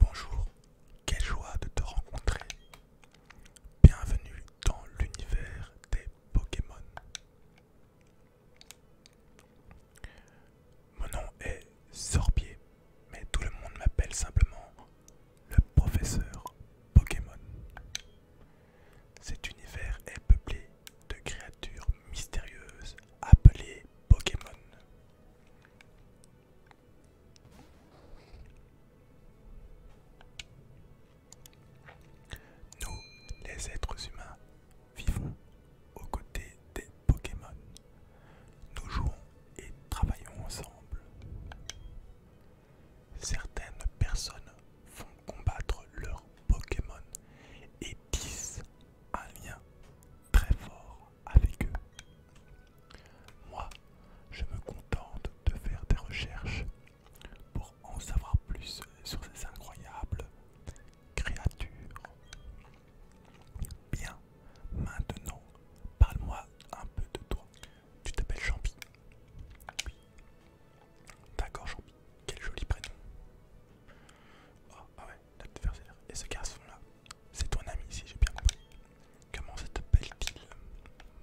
Bonjour, quelle joie de te rencontrer. Bienvenue dans l'univers des Pokémon. Mon nom est Sorbier, mais tout le monde m'appelle simplement le professeur Pokémon. Cet univers est peuplé de créatures mystérieuses appelées Pokémon. Nous, les êtres humains, vivons aux côtés des Pokémon. Nous jouons et travaillons ensemble. Certaines personnes font combattre leurs Pokémon et tissent un lien très fort avec eux. Moi, je me contente de faire des recherches pour en savoir plus sur ces incroyables créatures. Bien, maintenant, parle-moi un peu de toi. Tu t'appelles Champi D'accord, Champi. Quel joli prénom. Ah, ah et ce garçon là, c'est ton ami si j'ai bien compris. Comment cette belle t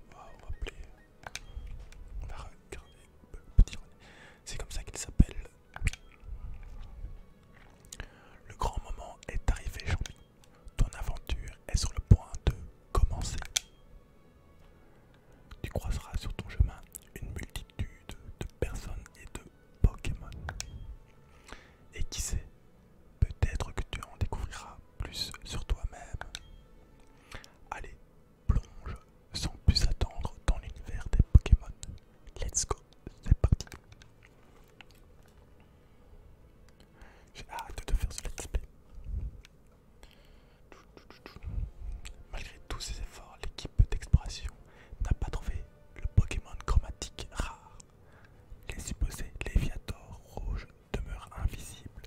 On va appeler. On va regarder. Petit C'est comme ça qu'il s'appelle. Le grand moment est arrivé, Ton aventure est sur le point de commencer. Tu croiseras sur ton chemin une multitude de personnes et de Pokémon. Et qui sait, Peut-être que tu en découvriras plus sur toi-même. Allez, plonge sans plus attendre dans l'univers des Pokémon. Let's go, c'est parti. J'ai hâte de faire ce let's play. Malgré tous ses efforts, l'équipe d'exploration n'a pas trouvé le Pokémon chromatique rare. Les supposés Léviator rouge demeurent invisibles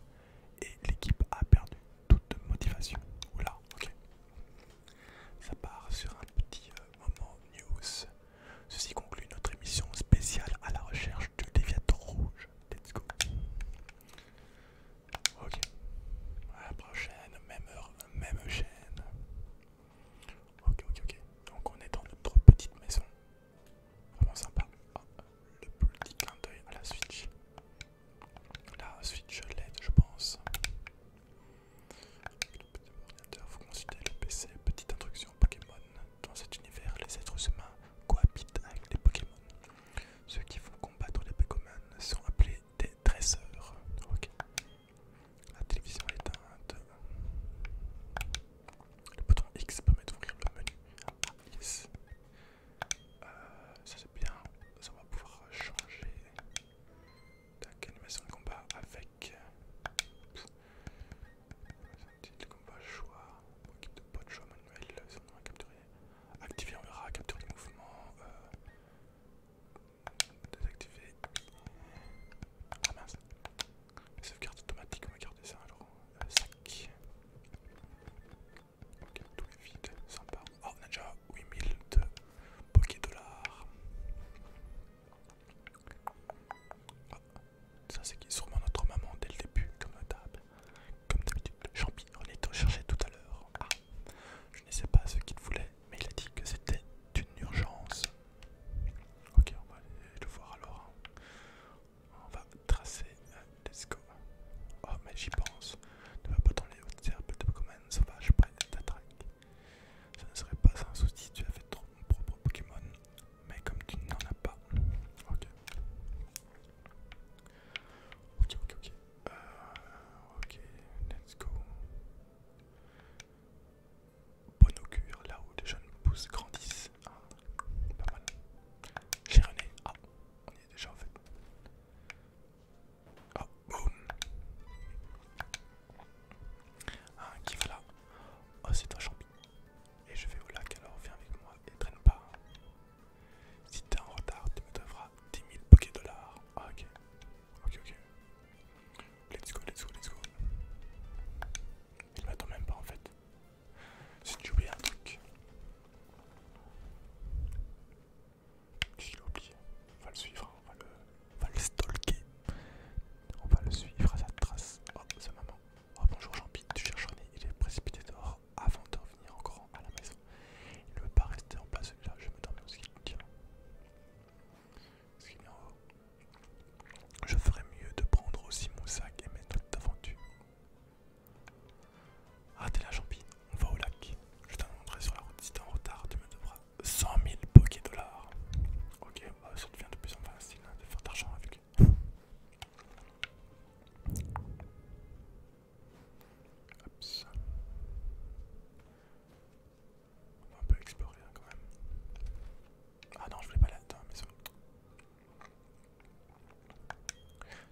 et l'équipe a perdu toute motivation. Oula, ok. Ça part sur un petit euh, moment news. Ceci conclut notre émission spéciale à la recherche du Léviator rouge. Let's go. Ok. À la prochaine, même heure, même chaîne. Ok, ok, ok. Donc on est dans notre petite maison. Vraiment sympa. Ah, le petit clin d'œil à la Switch. La Switch LED, je pense. Le petit ordinateur, vous le PC. Petite introduction Pokémon. Dans cet univers, les êtres humains cohabitent avec les Pokémon. Ceux qui vont combattre les Pokémon sont appelés des dresseurs. Ok. La télévision est éteinte. Le bouton X permet d'ouvrir le menu. Euh, ça c'est bien. Ça va pouvoir changer d'animation de combat avec. Euh, Petit combat choix. Pour équipe de pot choix manuel. Euh, on va capturer. Activer, on verra. capture le mouvement. désactiver. Ah, la sauvegarde automatique, on va garder ça alors. Euh, sac. Ok, tout est vide, sympa. Oh, on a déjà 8000 de Poké-Dollars. Ah, ça, c'est sûrement notre maman dès le début, comme table. Comme d'habitude, Champi, on est recherché tout à l'heure. Ah, je ne sais pas ce qu'il voulait, mais il a dit que c'était une urgence. Ok, on va aller le voir alors. Hein. On va tracer. Euh, let's go. Oh, mais j'y pense. Ne va pas dans les hautes herbes de Pokémon sauvage près de ta traque. Ça ne serait pas un souci si tu avais trop mon propre Pokémon. Mais comme tu n'en as pas. Ok. Ok, ok, ok. Euh, ok, let's go bon augure, là où les jeunes pousses grandissent. Ah, pas mal. J'ai René. Ah, on y est déjà en fait. Oh, boum. Ah, qui va là Oh, c'est un champi. Et je vais au lac alors, viens avec moi et traîne pas. Si t'es en retard, tu me devras 10 000 poké dollars. Ah, ok. Ok, ok. Let's go, let's go, let's go. Il m'attend même pas en fait. Si tu oublies un truc. Si oublié, on va le suivre, hein, on va le, stalker. On va le suivre à sa trace. Oh, sa maman. Oh bonjour Jean-Pierre, tu cherches René, il est précipité dehors avant de revenir encore à la maison. Il ne veut pas rester en place celui-là, je me dormais aussi. Tiens. Ce Je ferais mieux de prendre aussi mon sac et mes notes d'aventure. Ah t'es là on va au lac. Je montré sur la route si t'es en retard, tu me devras 100 000 poké dollars. Ok, bah, ça devient de plus en plus facile hein, de faire d'argent avec. lui On va un peu explorer hein, quand même. Ah non, je voulais pas là Attends, mais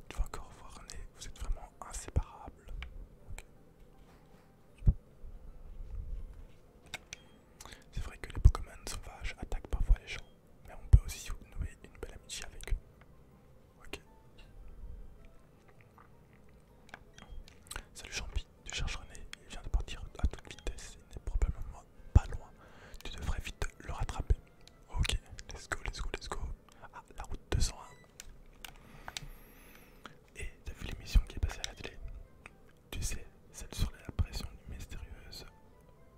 Tu vas encore voir René, vous êtes vraiment inséparables. C'est vrai que les Pokémon sauvages attaquent parfois les gens, mais on peut aussi nouer une belle amitié avec eux. Salut Champi, tu cherches René, il vient de partir à toute vitesse, il est probablement pas loin. Tu devrais vite le rattraper. Ok, let's go, let's go, let's go. Ah, la route 201. Et t'as vu l'émission qui est passée à la télé Tu sais, celle sur l'apparition mystérieuse.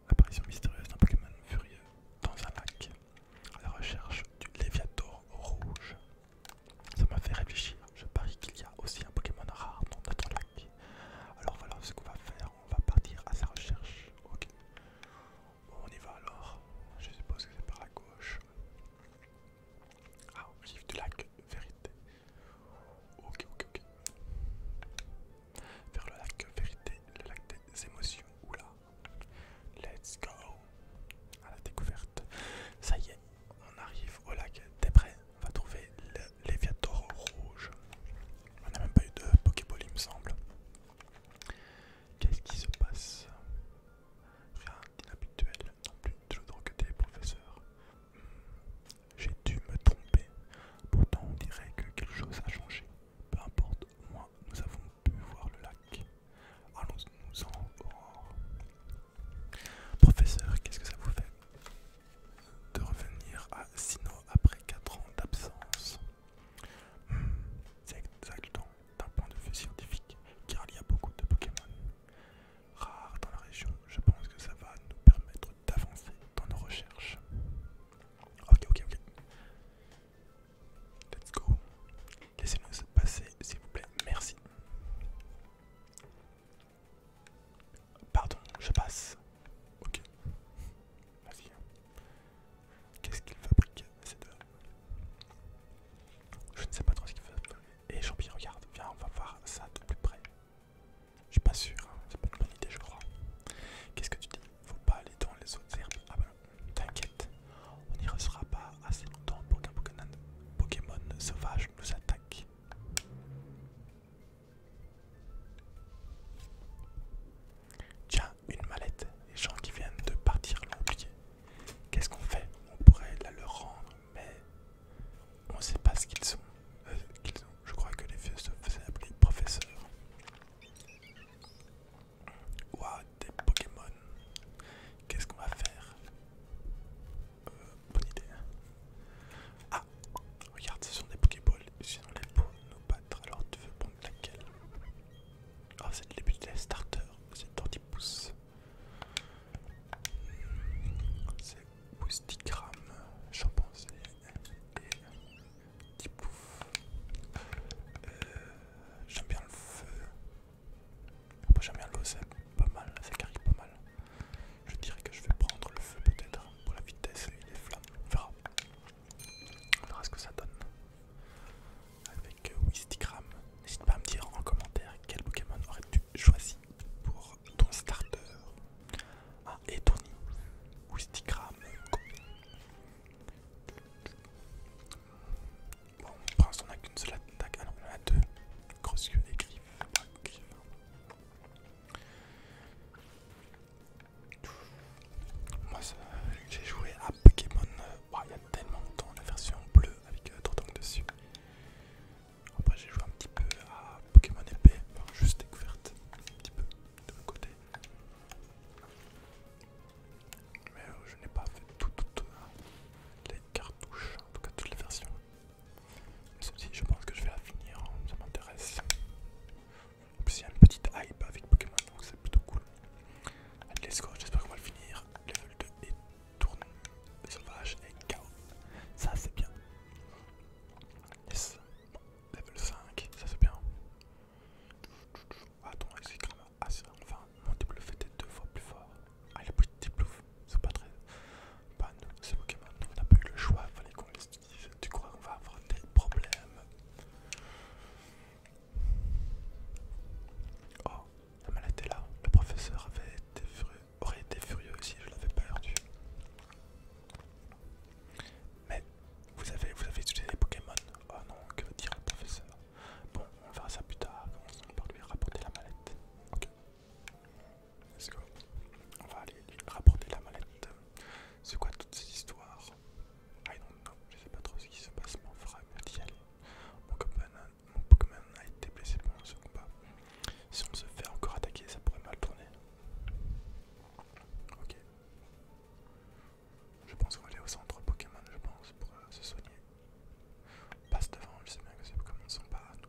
Apparition mystérieuse d'un Pokémon furieux dans un lac à la recherche du Léviator rouge. Ça m'a fait réfléchir. Je parie qu'il y a aussi un Pokémon rare dans notre lac. Alors voilà ce qu'on va faire, on va partir à sa recherche. Ok. on y va alors. Je suppose que c'est par la gauche. Ah, objectif du lac, vérité. Ok, ok, ok. Vers le lac vérité, le lac des émotions. Oula. Let's go. À la découverte. Ça y est, on arrive au lac. des prêt on va trouver le Léviator rouge. On n'a même pas eu de Pokéball, il me semble. Qu'est-ce qui se passe Rien d'inhabituel non plus. de dois que des professeurs. Hmm, j'ai dû me tromper. Pourtant, on dirait que quelque chose a changé. Peu importe, moi, nous avons pu voir le lac. Allons-nous en. Professeur, qu'est-ce que ça vous fait de revenir à Sino après 4 ans d'absence. Hmm, c'est exactement d'un point de vue scientifique car il y a beaucoup de Pokémon rares dans la région. Je pense que ça va nous permettre d'avancer dans nos recherches. Ok, ok, ok. Let's go. Laissez-nous passer s'il vous plaît. Merci. Pardon, je passe. Ok. Vas-y. Qu'est-ce qu'il fabrique Je ne sais pas trop ce qu'il fabrique. Et eh, Jean pierre regarde, viens, on va voir ça de plus près. Je suis pas sûr, hein. c'est pas une bonne idée, je crois. Qu'est-ce que tu dis Faut pas aller dans les autres herbes. Ah ben, t'inquiète, on n'y restera pas assez longtemps pour qu'un Pokémon sauvage nous attaque. Tiens, une mallette. Les gens qui viennent de partir l'ont Qu'est-ce qu'on fait On pourrait la leur rendre, mais on ne sait pas ce qu'ils sont. Euh, Je crois que les vieux se faisaient appeler professeurs. des Pokémon. Qu'est-ce qu'on va faire euh, bonne idée. Ah, regarde, ce sont des Pokéballs. Sinon, les pour nous battre. Alors, tu veux prendre laquelle ah c'est le début de la pouces C'est grammes. C'est Boostigram, Champansé et 10 Euh, j'aime bien le feu. J'aime bien l'eau, c'est pas mal. C'est carré, pas mal. Je dirais que je vais prendre le feu peut-être pour la vitesse et les flammes. On verra. On verra ce que ça donne. Avec euh, Wistigram, n'hésite pas à me dire en commentaire quel Pokémon aurais-tu choisi pour ton starter. Ah, et ton Wistigram. Bon, pour on n'a qu'une seule attaque. Ah non, on a deux. Grosse queue et griffes. Moi, j'ai joué à Pokémon euh, bah, il y a tellement temps, la version bleue avec le euh, Trotang dessus. Après, j'ai joué un petit peu à Pokémon épée, juste découverte, un petit peu de côté. Mais euh, je n'ai pas fait toutes les cartouches, en tout cas toutes les versions je pense que je vais la finir, hein, ça m'intéresse. En plus, il y a une petite hype avec Pokémon, donc c'est plutôt cool. let's go, j'espère qu'on va le finir. Level 2 et tourne sauvage et KO. Ça, c'est bien. level 5, ça c'est bien. Attends, c'est quand même assez. Enfin, mon double fait est deux fois plus fort. Ah, Allez, petit Double. c'est pas très. Bah, nous, c'est Pokémon, on n'a pas eu le choix, fallait qu'on l'estime. Tu crois qu'on va avoir des problèmes Oh, la mallette est là. Le professeur avait aurait été furieux si je l'avais pas perdu. Mais vous avez, vous utilisé les Pokémon Oh non, que veut dire le professeur Bon, on verra ça plus tard. Commençons par lui rapporter la mallette. Let's go. On va aller lui rapporter la mallette. C'est quoi toutes ces histoires I don't know. Je sais pas trop ce qui se passe, aller. Mon, Pokémon a été blessé pendant ce combat. Si on se fait encore attaquer, ça pourrait mal tourner. Ok. Je pense qu'on va aller au centre Pokémon, je pense, pour euh, se soigner. On passe devant, je sais bien que ces Pokémon ne sont pas à nous.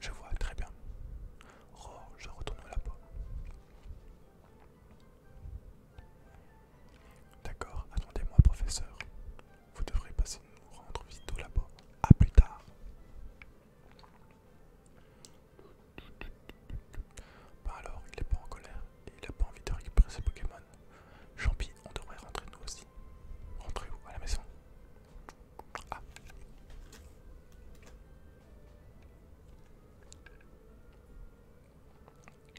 Je vois très bien. Oh, je retourne au labo. D'accord, attendez-moi, professeur. Vous devrez passer nous rendre vite au labo. À plus tard. Bah alors, il n'est pas en colère et il n'a pas envie de récupérer ses Pokémon. Champi, on devrait rentrer nous aussi. Rentrer vous À la maison Ah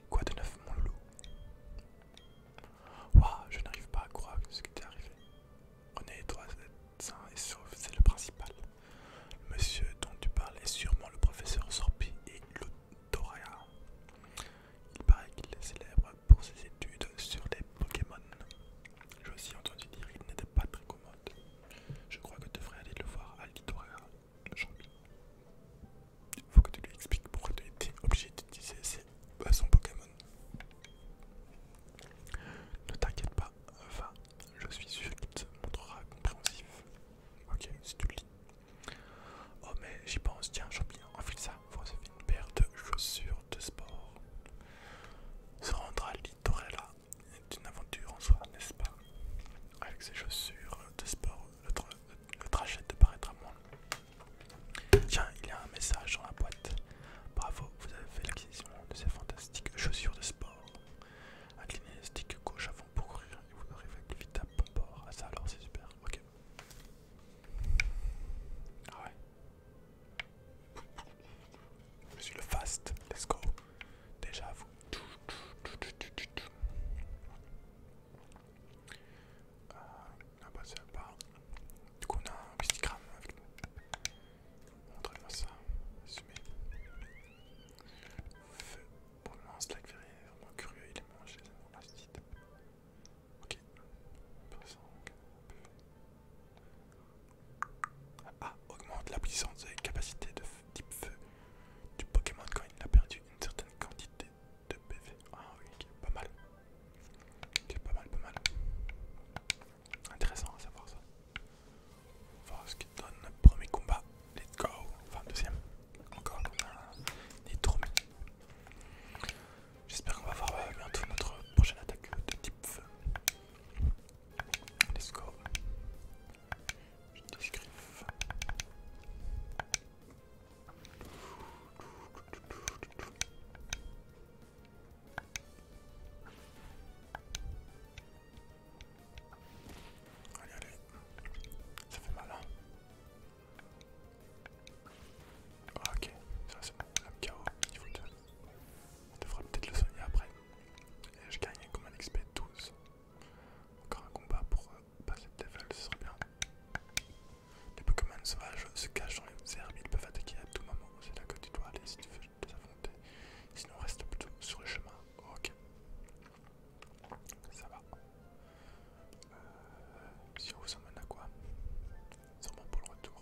Quoi de neuf, mon loup ?»« Waouh, je n'arrive pas à croire ce qui t'est arrivé. On est toi, et sauf, c'est le principal. monsieur dont tu parlais sûrement le professeur Sorpi et l'Autoria. Il paraît qu'il est célèbre pour ses études sur les Pokémon. J'ai aussi entendu dire qu'il n'était pas très commode. Je crois que tu devrais aller le voir à jean Il Faut que tu lui expliques pourquoi tu étais obligé d'utiliser son Pokémon. Ne t'inquiète pas, enfin, je suis sûr qu'il te montrera compréhensif. Ok, si tu le lis. Oh mais j'y pense, tiens Jean-Pierre, enfile ça, Faut recevoir une paire de chaussures de sport. Se rendre à Dorella est une aventure en soi, n'est-ce pas Avec ses chaussures de sport, le, trajet de paraître à Tiens, il y a un message dans la boîte. Bravo, vous avez fait l'acquisition de ces fantastiques chaussures de sport. Inclinez les stick gauche avant pour courir et vous arrivez vite à bon port. Ah ça alors c'est super, ok. Ah ouais. Je suis le fast, let's go. Déjà vous. Euh, ah bah c'est pas. Du coup on a un pistigramme avec nous. Montrez-moi ça. Assumez. Pour le moment, Slack est vraiment curieux, il est mangé, c'est mon petite. Ok. Personne. Ah, augmente la puissance et capacité de type feu du Pokémon quand il a perdu une certaine quantité de PV. Ah oui, pas mal. c'est pas mal, pas mal. Intéressant à savoir ça. Voir ce qui donne le premier combat. Let's go. Enfin, deuxième. Encore dans trop J'espère qu'on va voir euh, bientôt notre prochaine attaque de type feu. Let's go. Je décrive. Allez, allez, ça fait mal, hein. ah, Ok, ça c'est bon, l'âme KO, niveau 2. On devrait peut-être le soigner après. Et je gagne comme un XP 12. Encore un combat pour euh, passer le level, ce serait bien. Les Pokémon sauvages se cachent dans les herbes, ils peuvent attaquer à tout moment. C'est là que tu dois aller si tu veux les affronter. Sinon, reste plutôt sur le chemin. Ok. Ça va. Euh, si on vous emmène à quoi Sûrement pour le retour.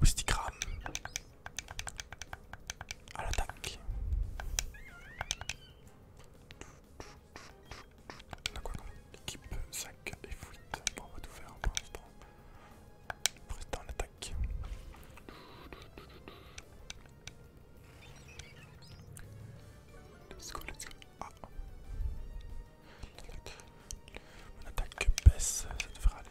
Boustigram à l'attaque. On quoi comme équipe 5 et 8 Bon, on va tout faire pour l'instant. Pour en attaque. Let's go, let's go. Ah. Mon attaque baisse, ça devrait aller.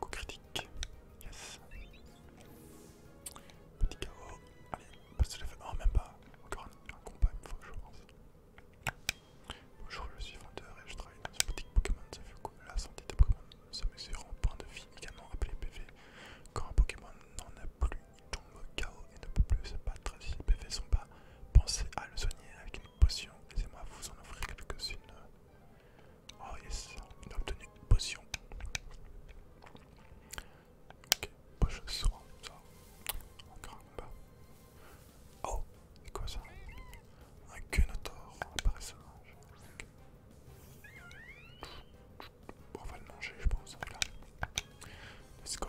Coup critique, yes. Petit KO, allez, parce que je fait. Oh, même pas, encore un, combat, il fois. je pense. Bonjour, je suis vendeur et je travaille dans une boutique Pokémon. Ça fait quoi La santé des Pokémon se mesure en point de vie, également appelé PV. Quand un Pokémon n'en a plus il tombe chaos et ne peut plus se battre. Si les PV sont pas, pensez à le soigner avec une potion. Laissez-moi vous en offrir quelques-unes. Oh yes, on a obtenu une potion. Ok, poche soir, ça. Encore un peu. Oh, c'est quoi ça Un gunotor, apparaissant. Bon, on va le manger, je pense. Let's go.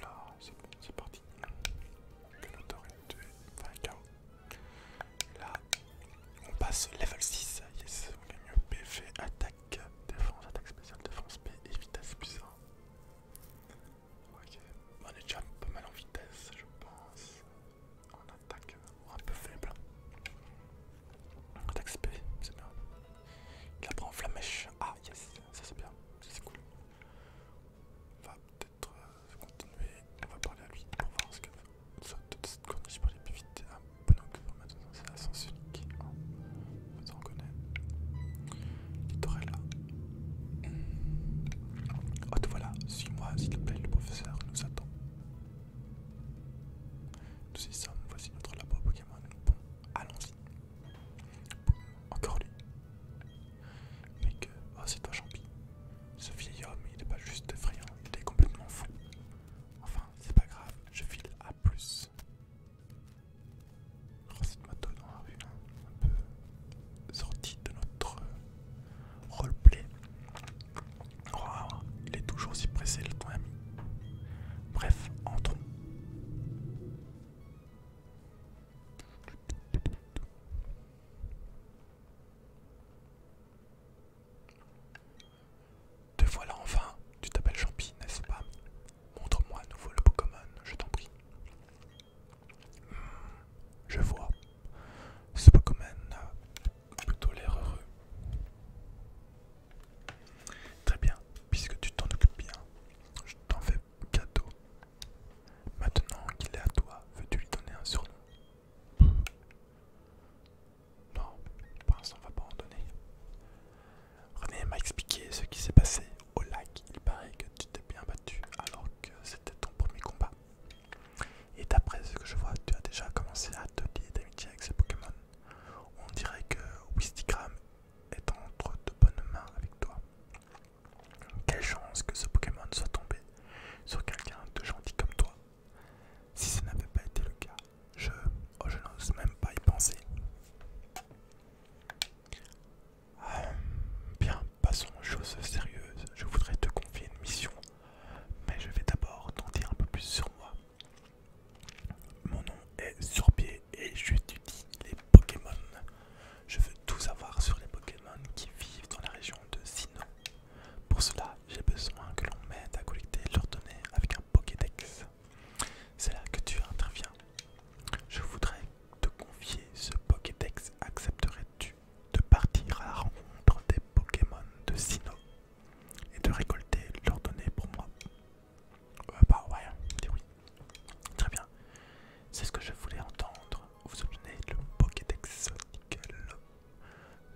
là, c'est parti. Que l'autorité est tué. Enfin, KO. Là, on passe level 6. Yes, on gagne PV, attaque, défense, attaque spéciale, défense P et vitesse plus Ok, on est déjà pas mal en vitesse, je pense. On attaque, on un peu faible. Attaque SP, c'est bien. Il apprend flamèche. Ah, yes ça c'est bien, ça c'est cool. On va peut-être euh, continuer, on va parler à lui pour voir ce que Soit de cette corniche pour parler plus vite. Un bon enclos maintenant, c'est un sens unique, se vous Il connaissez. là. Oh voilà, suis-moi s'il te plaît, le professeur nous attend. Nous y sommes, voici notre labo Pokémon. Bon, allons-y. Encore lui. Mais que. Oh, c'est toi, champi. Ce vieil homme, il n'est pas juste effrayant, il est complètement fou. Enfin, c'est pas grave, je file à plus. de cette moto dans la hein. un peu sorti de notre euh, roleplay. il est toujours si pressé, le ton ami. Bref, entrons. Te voilà enfin, tu t'appelles Champi, n'est-ce pas Montre-moi à nouveau le Pokémon, je t'en prie. Hmm, je vois. Ce Pokémon euh, plutôt l'air heureux. Très bien, puisque tu t'en occupes bien, je t'en fais cadeau. Maintenant qu'il est à toi, veux-tu lui donner un surnom Non, pour l'instant on va pas en donner. René m'a expliqué ce qui s'est passé au lac. Il paraît que tu t'es bien battu alors que c'était ton premier combat. Et d'après ce que je vois, tu as déjà commencé à te lier d'amitié avec ces Pokémon. On dirait que Wistigram est entre de bonnes mains avec toi. Quelle chance que ce Pokémon soit tombé sur quelqu'un de gentil comme toi. Si ce n'avait pas été le cas, je, oh, n'ose même pas y penser. Ah, bien, passons aux choses sérieuses. Je voudrais te confier une mission, mais je vais d'abord t'en dire un peu plus sur moi. Mon nom est Surpied et je j'étudie les Pokémon. Je veux tout savoir sur les Pokémon qui vivent dans la région de Sinnoh. Pour cela, j'ai besoin que l'on m'aide à collecter leurs données avec un Pokédex. C'est là que tu interviens. Je voudrais te confier ce Pokédex. Accepterais-tu de partir à la rencontre des Pokémon de Sinnoh et de récolter leurs données pour moi euh, bah ouais, hein, c'est oui. Très bien. C'est ce que je voulais entendre. Vous obtenez le Pokédex Nickel.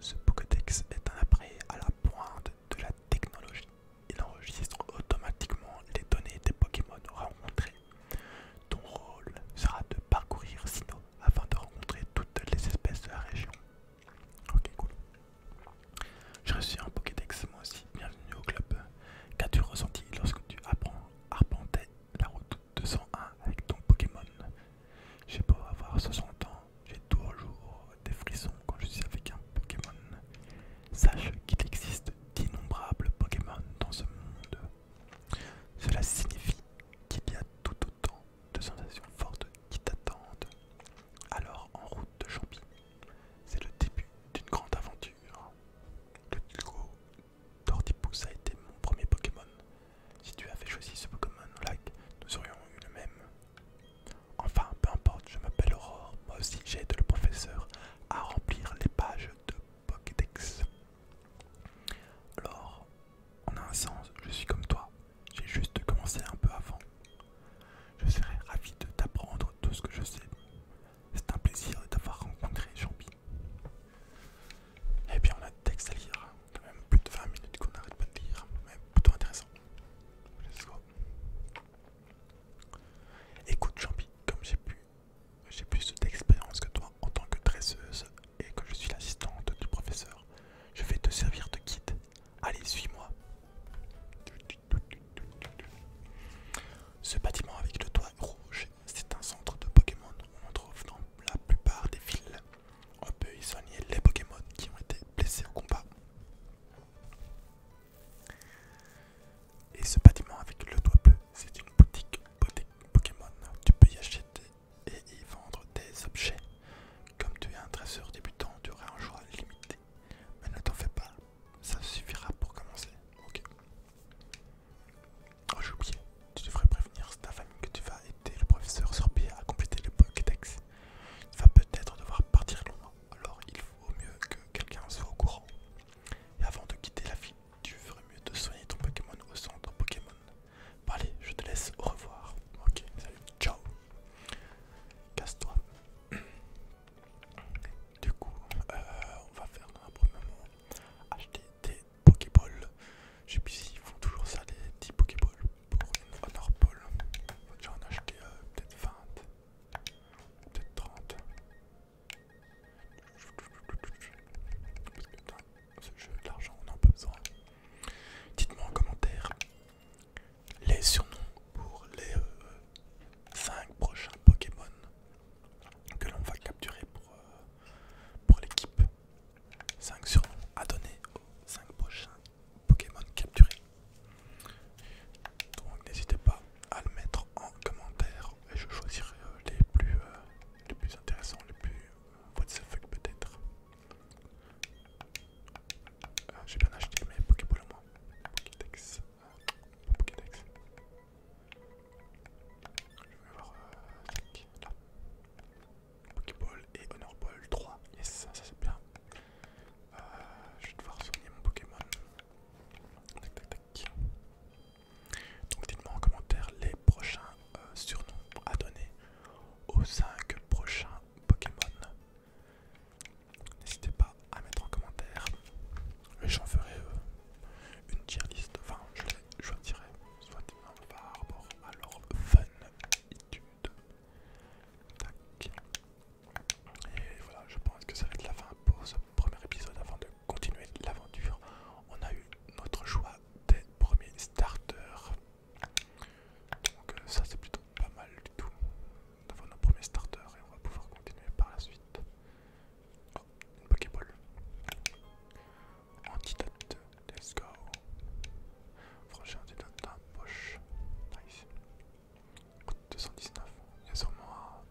Ce Pokédex est un appareil à la pointe de la technologie. Il enregistre automatiquement les données des Pokémon rencontrés. Ton rôle sera de parcourir Sinnoh afin de rencontrer toutes les espèces de la région. Ok, cool. Je reçu un Pokédex moi aussi. Bienvenue au club. Qu'as-tu ressenti lorsque tu apprends arpenter la route 201 avec ton Pokémon J'ai beau avoir 60 ans, j'ai toujours des frissons quand je suis avec un Pokémon. Sache qu'il existe d'innombrables Pokémon dans ce monde. Cela signifie qu'il y a tout autant de sensations fortes qui t'attendent. Alors en route de Champi, c'est le début d'une grande aventure. Le a été mon premier Pokémon. Si tu avais choisi ce Pokémon nous aurions eu le même. Enfin, peu importe, je m'appelle Aurore. Moi aussi, j'aide le professeur à remplir les pages de Pokédex. Alors, on a un sens, je suis comme toi. J'ai juste commencé un peu avant. Je serais ravi de t'apprendre tout ce que je sais. C'est un plaisir d'avoir t'avoir rencontré, pierre Et eh bien, on a des texte à lire, quand même plus de 20 minutes qu'on n'arrête pas de lire, mais plutôt intéressant. Let's go. Écoute, Champi, comme j'ai pu. J'ai plus d'expérience que toi en tant que dresseuse et que je suis l'assistante du professeur. Je vais te servir de guide. Allez, suis-moi. Ce bâtiment avec le toit rouge, c'est un centre de Pokémon. On en trouve dans la plupart des villes. On peut y soigner les Pokémon qui ont été blessés au combat. Et ce bâtiment avec le toit bleu, c'est une boutique, Pokémon. Tu peux y acheter et y vendre des objets. Comme tu es un dresseur débutant, tu aurais un choix limité mais ne t'en fais pas, ça suffira pour commencer. Ok. Oh, j'ai oublié, tu devrais prévenir ta famille que tu vas aider le professeur Sorbier à compléter le Pokédex. Tu vas peut-être devoir partir loin, alors il vaut mieux que quelqu'un soit au courant. Et avant de quitter la ville, tu ferais mieux de soigner ton Pokémon au centre Pokémon. allez, je te laisse, au revoir. Ok, salut, ciao. Casse-toi. Du coup, euh, on va faire un premier moment acheter des Pokéballs. Je sais plus s'ils font toujours ça, les 10 Pokéballs pour une Honor Ball. Faut va déjà en acheter euh, peut-être 20, peut-être 30. Parce que dans ce jeu de l'argent, on en a pas besoin. Dites-moi en commentaire les surnoms pour les, euh, 5 prochains Pokémon que l'on va capturer pour, euh, pour l'équipe. 5 surnoms à donner aux 5 prochains Pokémon capturés. Donc n'hésitez pas à le mettre en commentaire et je choisirai euh, les plus, euh, les plus intéressants, les plus what the fuck peut-être. J'ai bien acheté mes Pokéballs moi. Pokédex. Je vais voir... Euh, Pokéball et Honor 3. Yes, ça, c'est bien. Euh, je vais devoir soigner mon Pokémon. Tac, tac, tac. Donc dites-moi en commentaire les prochains euh, surnoms à donner aux 5 prochains Pokémon. N'hésitez pas à mettre en commentaire. J'en ferai euh, une tier liste, Enfin, je les choisirai soit par rapport à leur funitude. Et voilà, je pense que ça va être la fin pour ce premier épisode. Avant de continuer l'aventure, on a eu notre choix des premiers starters. Donc euh, ça c'est plutôt pas mal du tout d'avoir nos premiers starters et on va pouvoir continuer par la suite. Oh, une Pokéball. Antidote, let's go. Franchement, antidote dans la poche. Nice. 219. Il y a sûrement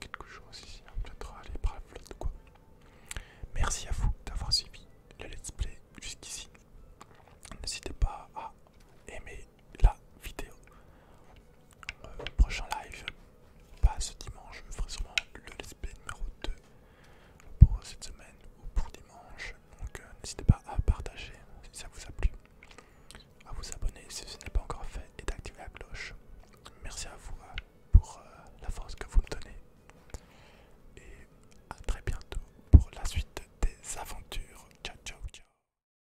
quelque chose ici. peut-être aller par la flotte ou quoi. Merci à vous d'avoir suivi le let's play jusqu'ici. N'hésitez pas à aimer, la vidéo. Euh, prochain live, pas ce dimanche, je ferai sûrement le let's numéro 2 pour cette semaine ou pour dimanche. Donc euh, n'hésitez pas à partager si ça vous a plu, à vous abonner si ce n'est pas encore fait et d'activer la cloche. Merci à vous euh, pour la force que vous me donnez et à très bientôt pour la suite des aventures. Ciao ciao ciao